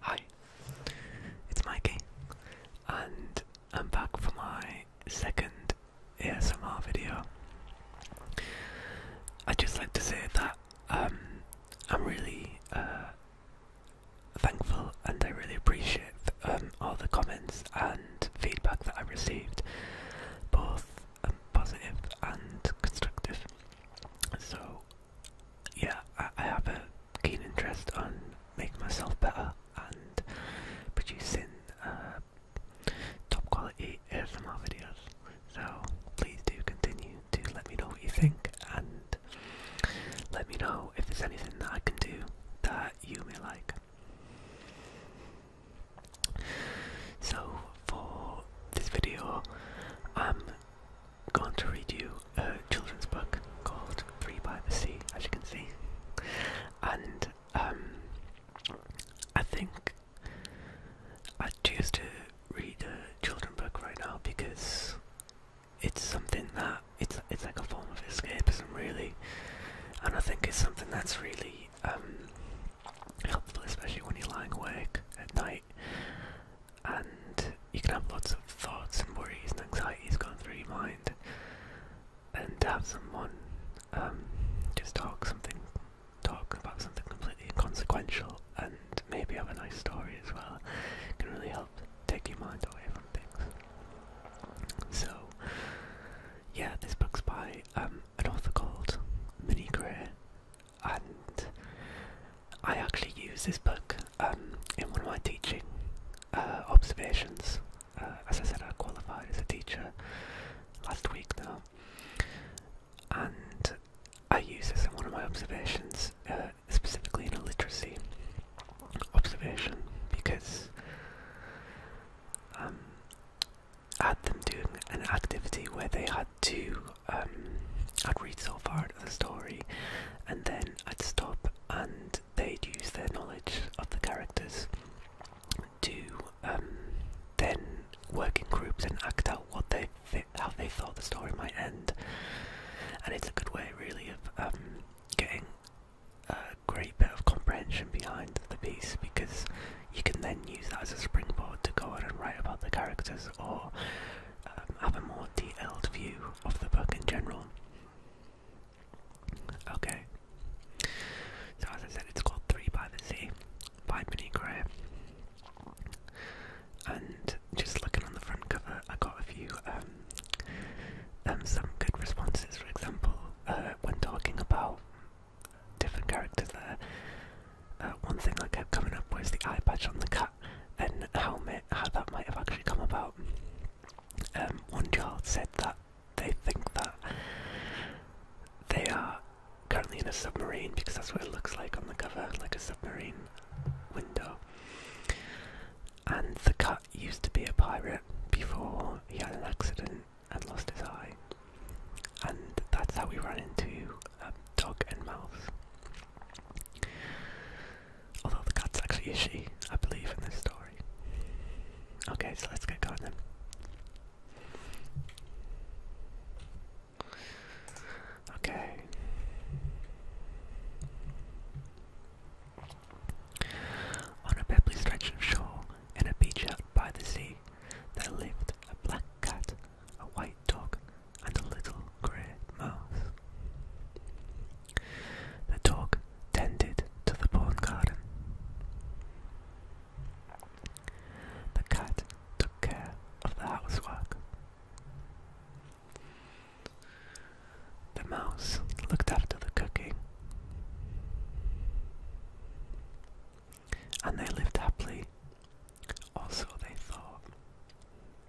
Hi, it's Mikey, and I'm back for my second ASMR video. I'd just like to say that um, I'm really uh, thankful and I really appreciate um, all the comments and feedback that I received, both um, and constructive. So yeah, I, have a keen interest on making myself better and producing uh, top quality ASMR videos. So please do continue to let me know what you think and let me know if there's anything that I can do that you may like. So for this video, i going to read you a children's book called Three by the Sea, as you can see. And um, I think I choose to read a children's book right now because it's something that it's it's like a form of escapism, really. And I think it's something that's really um, helpful, especially when you're lying awake at night and you can have lots of thoughts and worries and anxieties going through your mind. And to have someone um, just talk something, talk about something completely inconsequential, and maybe have a nice story as well, can really help take your mind away from things. So, yeah, this book's by um, an author called Minnie Gray, and I actually use this book um, in one of my teaching uh, observations. Uh, as I said, I qualified as a teacher last week now, and I use this in one of my observations, uh, specifically in a literacy observation, because um, I had them doing an activity where they had to um, I'd read so far into the story, and then I'd stop, and they'd use their knowledge of the characters to um, then work in groups and act out what they how they thought the story might end. And it's a good way, really, of um, getting a great bit of comprehension behind the piece because you can then use that as a springboard to go on and write about the characters or um, have a more detailed view of the book in general. Okay, so as I said, it's called Three by the Sea by Minnie Gray. And just looking on the front cover, I got a few um, um, some good responses. For example, uh, when talking about different characters, there, uh, one thing I kept coming up was the eye patch on the cat that and how, that might have actually come about. Um, one child said that they think that they are currently in a submarine because that's what it looks like on the cover, like a submarine window. And the cat used to be a pirate before he had an accident and lost his eye. And that's how we ran into um, Dog and Mouse. Although the cat's actually a she, I believe, in this story. Okay, so let's get going then. Okay. On a pebbly stretch of shore, in a beach out by the sea, there lived a black cat a white dog, and a little grey mouse. The dog tended to the pawn garden. The cat took care of the housework. The mouse looked after the cooking. And they lived happily, or so they thought.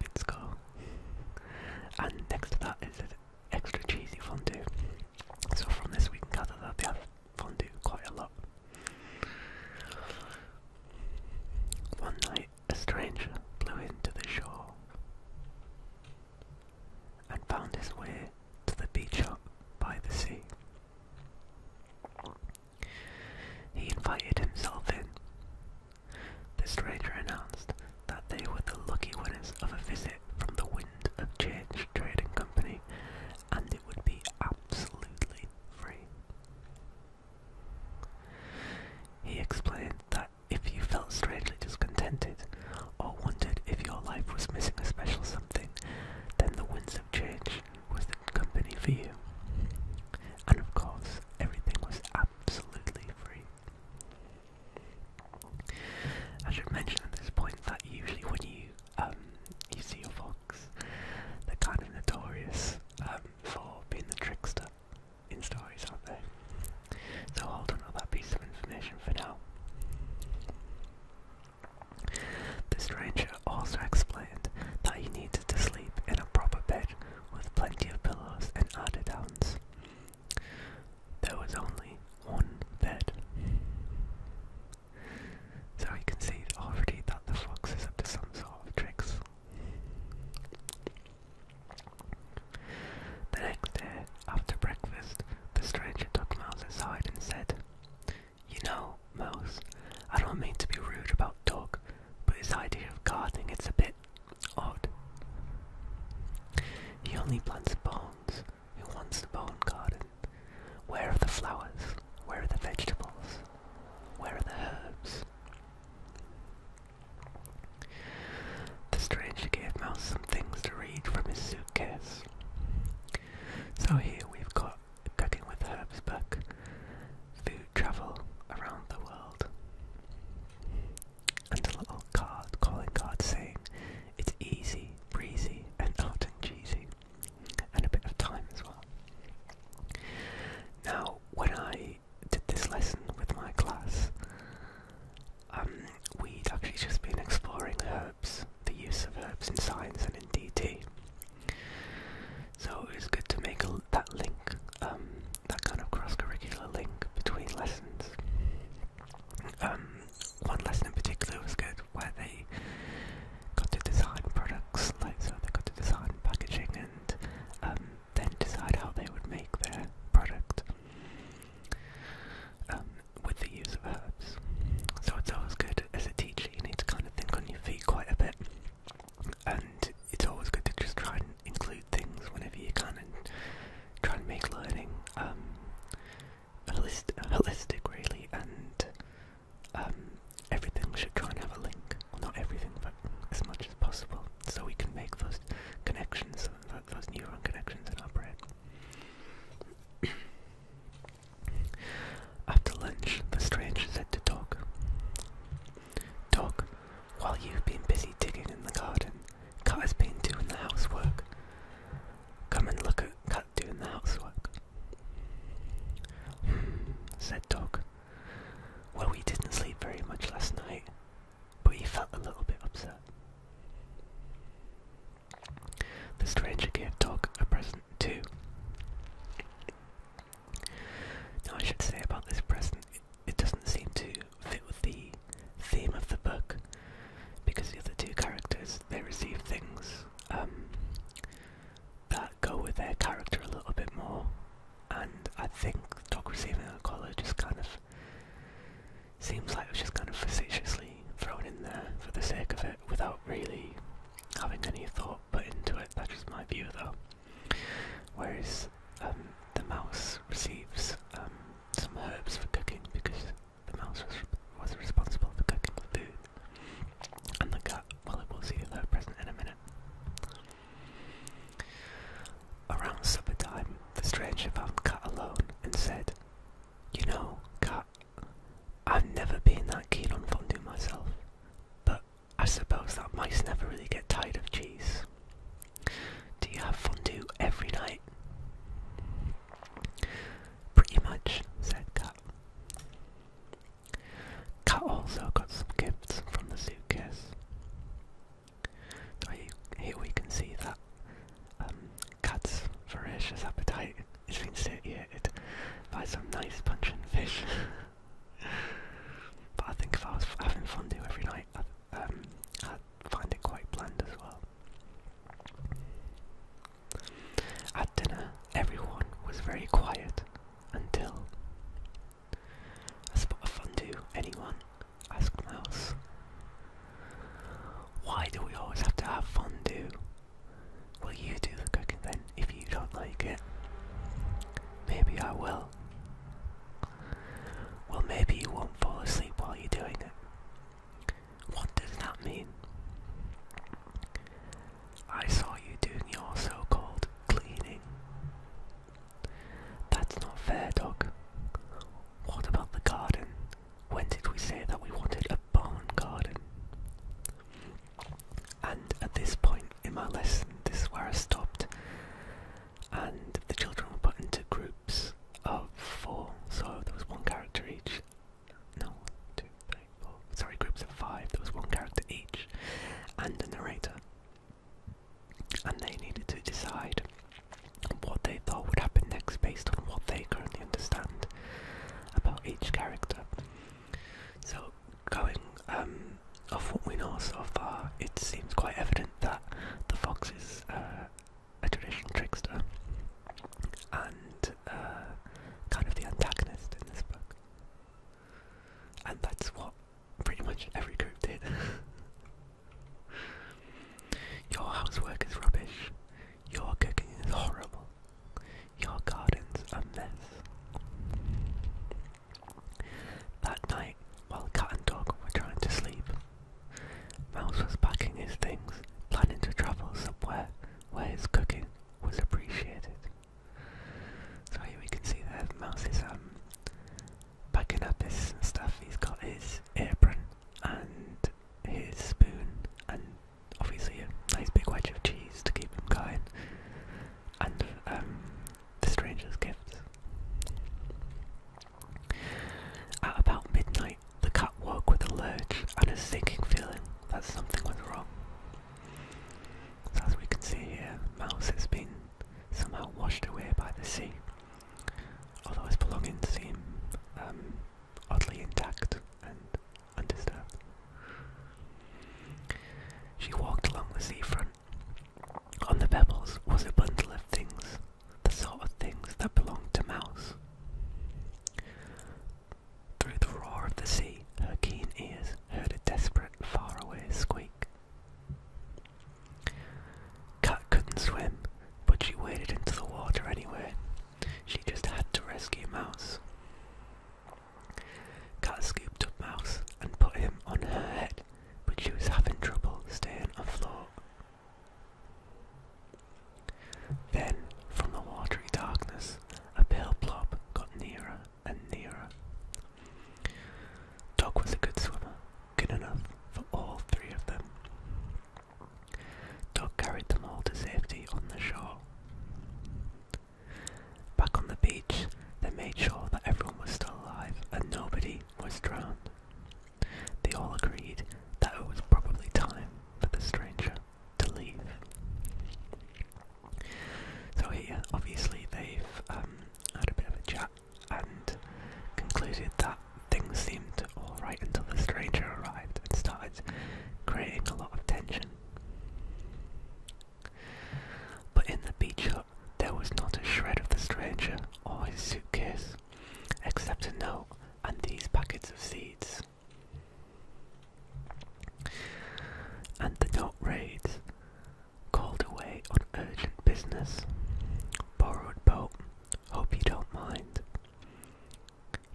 Fitbit score. and next to that is an extra cheesy fondue. So from this we can gather that they have fondue quite a lot. One night a stranger blew into the shore and found his way to the beach hut by the sea. He invited himself in the stranger announced that they were the lucky winners of a visit from the Wind of Change Trading Company and it would be absolutely free. He explained that if you felt strangely discontented or wondered if your life was missing a special something, then the Winds of Change was the company for you. And of course, everything was absolutely free. I should mention at this point that usually when you um, you see a fox, they're kind of notorious um, for being the trickster in stories, aren't they? So hold on to that piece of information for now. The stranger also explained that you needed to sleep in a proper bed with plenty of pillows and other downs. There was only one bed. So you can see already that the fox is up to some sort of tricks. The next day, after breakfast, the stranger took Mouse aside and said, You know, Mouse, I don't mean to be rude about dog, but his idea of gardening it's a bit Odd. He only plants bones who wants the bone garden. Where are the flowers? Where are the vegetables? Where are the herbs? The stranger gave Mouse some things to read from his suitcase. So here we've got Cooking with Herbs book, Food Travel Around the World and a little card, calling card saying it's easy, breezy, and out and cheesy, and a bit of time as well. Now, when I did this lesson with my class, um, we'd actually just been exploring herbs, the use of herbs in science and in DT. So it was good to make that link um, that kind of cross-curricular link between lessons. Um, one lesson in particular was good, where they got to design products, like so they got to design packaging and um, then decide how they would make their product um, with the use of herbs. So it's always good as a teacher, you need to kind of think on your feet quite a bit and it's always good to just try and include things whenever you can and try and make learning holistic, um, holistic really and um, everything should try and have a link not everything but as much as possible so we can make those connections those neuron connections in our brain after lunch the stranger said to dog dog while you've been busy digging in the garden, Cut has been doing the housework. Come and look at Cut doing the housework. Hmm, said Dog. Well, we didn't sleep very much last night, but he felt a little bit upset. The stranger gave Dog a present too. Now, I should say about this present, it doesn't seem to fit with the theme of the book because the other two characters they receive things um, that go with their character a little bit more, and I think Dog Receiving a Collar just kind of seems like it was just kind of facetiously thrown in there for the sake of it without really having any thought put into it. That's just my view though. Whereas um, the mouse receives um, some herbs for cooking because the mouse was, responsible for cooking the food. And the cat, well, it will see her present in a minute. Around supper time, the stranger found Cat alone and said, You know, Cat, I've never been that keen on fondue myself, but I suppose that mice never really get tired of cheese. Do you have fondue every night? Pretty much, said Cat. Cat also got some gifts from the suitcase. here we can see that um, voracious appetite is been satiated by some nice punching fish. but I think if I was having fondue every night, um, I find it quite bland as well. At dinner, everyone was very quiet until a spot of fondue. Anyone? asked Mouse. Why do we always have to have fondue? Will you do the cooking then if you don't like it? Maybe I will. Well, maybe you won't fall asleep while you're doing it. What does that mean? I saw you doing your so called cleaning. That's not fair, dog. What about the garden? When did we say that we wanted a barn garden? And at this point in my lesson, this where I stopped and the children were put into groups of four, so there was one character each. No, two, three, four. Sorry, groups of five. There was one character each, and a narrator. And they needed to decide what they thought would happen next based on what they currently understand about each character. So, going um, of what we know so far, it seems quite evident that the fox is uh, a traditional trickster and uh, kind of the antagonist in this book. And that's what pretty much every group did. Your housework is rubbish. Your cooking is horrible. Your gardens a mess. That night, while Cat and Dog were trying to sleep, Mouse was packing his things, planning to travel somewhere where his cooking was appreciated. So here we can see that Mouse is um, packing up his stuff. He's got his apron and his spoon and obviously a nice big wedge of cheese to keep him going and um, the stranger's gifts. At about midnight, the cat woke with a lurch and a sinking feeling that something was wrong. So as we can see here, Mouse has been somehow washed away by the sea, although his belongings seem um, oddly intact and undisturbed. She walked along the seafront on the pebbles was a bundle of things, the sort of things that belonged to Mouse. Through the roar of the sea, her keen ears heard a desperate, faraway squeak. Cat couldn't swim, but she waded into the water anyway. She just had to rescue Mouse. Cat scooped up Mouse and put him on her head but she was having trouble staying afloat. Then, from the watery darkness, a pale blob got nearer and nearer. Dog was a good swimmer, good enough for all three of them. Dog carried them all to safety on the shore. Back on the beach, they made sure that everyone was still alive and nobody was drowned. They all agreed that it was probably time for the stranger to leave. So here, obviously, they've um, had a bit of a chat and concluded that things seemed alright until the stranger arrived and started creating a lot of tension. But in the beach hut there was not a shred of the stranger or his suitcase, except a note and these packets of seeds. And the note reads, Called away on urgent business. Borrowed boat. Hope you don't mind.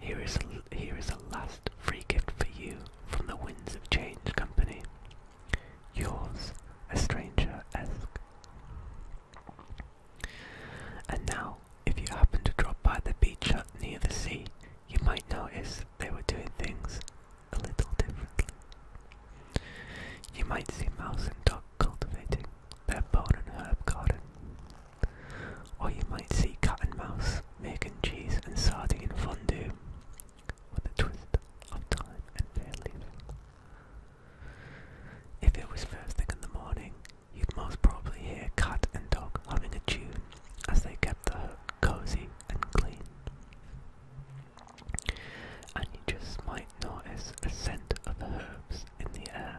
Here is here is a last free gift for you from the Winds of Change Company. Yours, a stranger esque. And now, if you happen to drop by the beach hut near the sea, you might notice they were doing things a little differently. You might see mouse and duck cultivating their bone and herb garden. Or you might see cat and mouse making cheese and sardine fondue with a twist of time and fair If it was first thing in the morning, you'd most probably hear cat and dog humming a tune as they kept the hut cozy and clean. And you just might notice a scent of herbs in the air.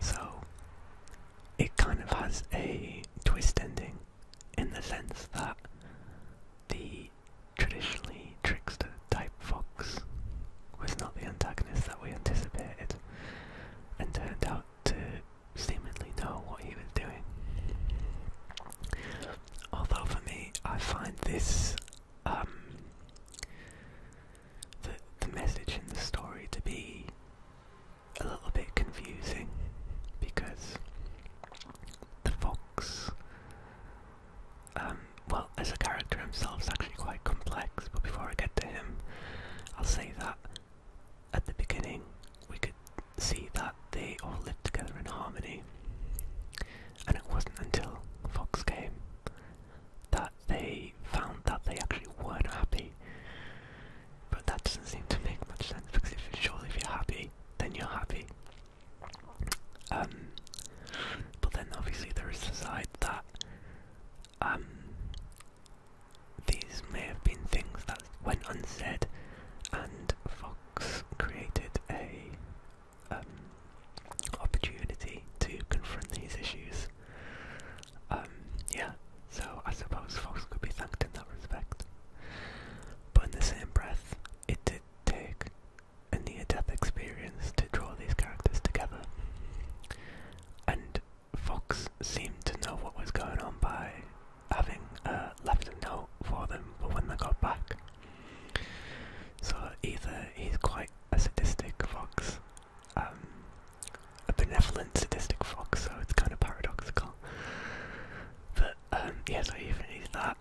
So, it kind of has a twist ending in the sense that the traditionally trickster type fox was not the antagonist that we anticipated and turned out to seemingly know what he was doing. Although for me, I find this um, the message in the story to be a little bit confusing because the fox, um, well, as a character himself, is actually quite complex. But before I get to him, I'll say that at the beginning we could see that they all lived together in harmony, and it wasn't until Fox came that they found that they actually weren't happy. But that doesn't seem to make much sense because if, surely if you're happy, then you're happy. Um, but then obviously there is the side that um, these may have been things that went unsaid, and Fox created a um, opportunity to confront these issues. Um, yeah, so I suppose Fox could be thanked in that respect. But in the same breath, it did take a near death experience to draw these characters together. And Fox seemed to know what was going on by having uh, left a note for them But when they got back. So either he's quite a sadistic fox, um, a benevolent sadistic fox, so it's kind of paradoxical. But um, yeah, so even he's that,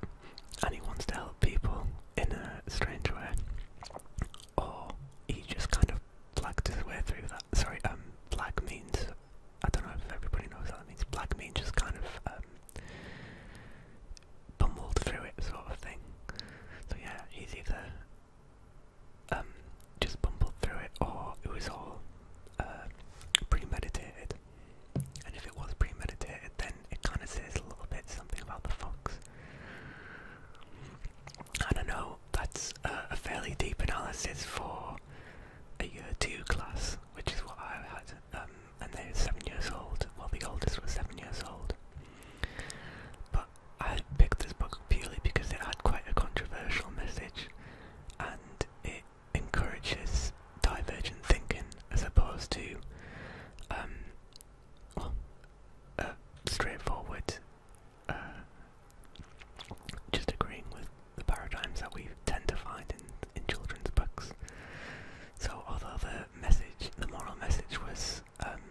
and he wants to help people in a strange way, or he just kind of blacked his way through that. Sorry, um, black means I don't know if everybody knows what that means. Black means just kind of um, bumbled through it, sort of thing. So yeah, he's either um, just bumbled through it or it was all uh, premeditated. And if it was premeditated, then it kind of says a little bit something about the fox. I don't know, that's a fairly deep analysis for a year two class, which is what I had, um, and they were seven years old. Well, the oldest was seven years old. But I picked this book purely because it had quite a controversial message, and it encourages divergent thinking as opposed to um, straightforward uh, just agreeing with the paradigms that we tend to find in, in children's books. So although the message, the moral message was um,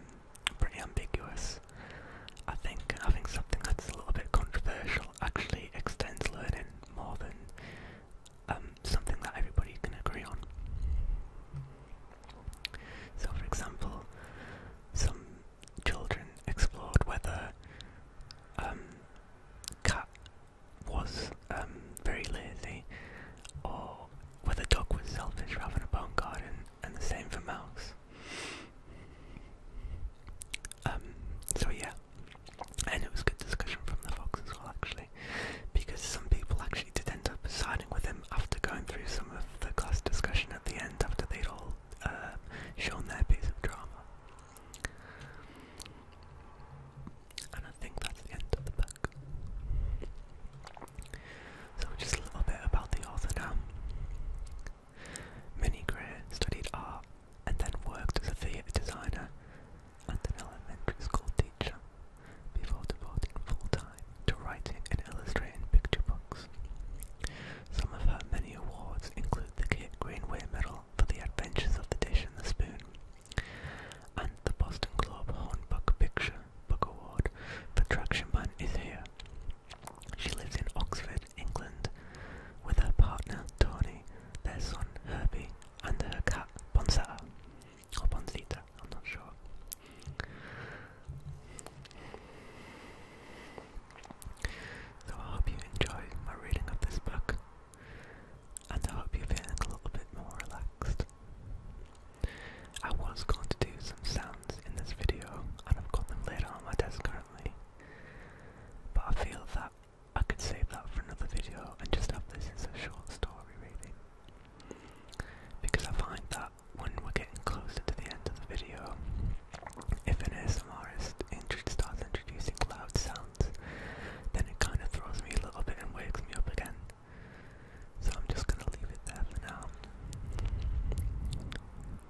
pretty ambiguous, I think having something that's a little bit controversial actually extends learning more than um, something that everybody can agree on. So, for example, some children explored whether um, cat was um, very lazy or whether dog was selfish for having a bone garden, and the same for mouse. Um, so yeah, and it was good discussion from the Fox as well, actually, because some people actually did end up siding with him after going through some of the class discussion at the end after they'd all um, shown their piece of drama. And I think that's the end of the book. So, just a little bit about the author now. Mini-Greer studied art and then worked as a theatre designer and an elementary school teacher before devoting full-time to writing and illustrating picture books. Some of her many awards include the Kate Greenway Medal for The Adventures of the Dish and the Spoon and the Boston Globe Horn Book Picture Book Award for Traction Man Is Here. She lives in Oxford, England, with her partner Tony, their son Herbie, and her cat Bonsetta. I'm not sure. So I hope you enjoyed my reading of this book, and I hope you're feeling a little bit more relaxed. I was going to do some sounds in this video, and I've got them laid on my desk, but I feel that I could save that for another video and just have this as a short story reading. Because I find that when we're getting closer to the end of the video, if an ASMRist starts introducing loud sounds, then it kind of throws me a little bit and wakes me up again. So I'm just going to leave it there for now.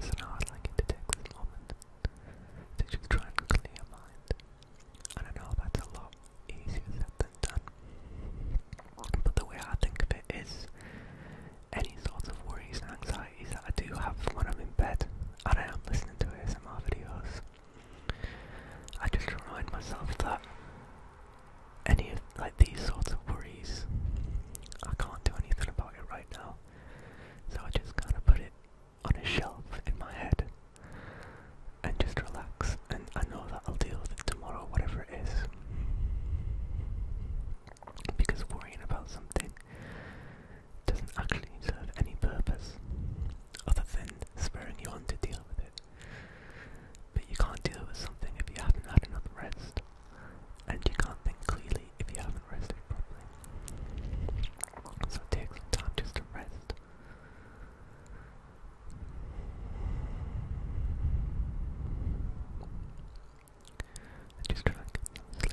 So now I'd like you to take this moment to try and clear your mind. And I know that's a lot easier said than done. But the way I think of it is any sorts of worries and anxieties that I do have when I'm in bed and I am listening to ASMR videos I just remind myself that any of like these sorts of worries, I can't do anything about it right now. So I just kind of put it on a shelf in my head and just relax. And I know that I'll deal with it tomorrow, whatever it is. Because worrying about something doesn't actually serve any purpose other than spurring you on to deal with it. But you can't deal with something if you haven't had enough rest, and you can't think clearly if you haven't rested properly. So take some time just to rest. just try and get some sleep.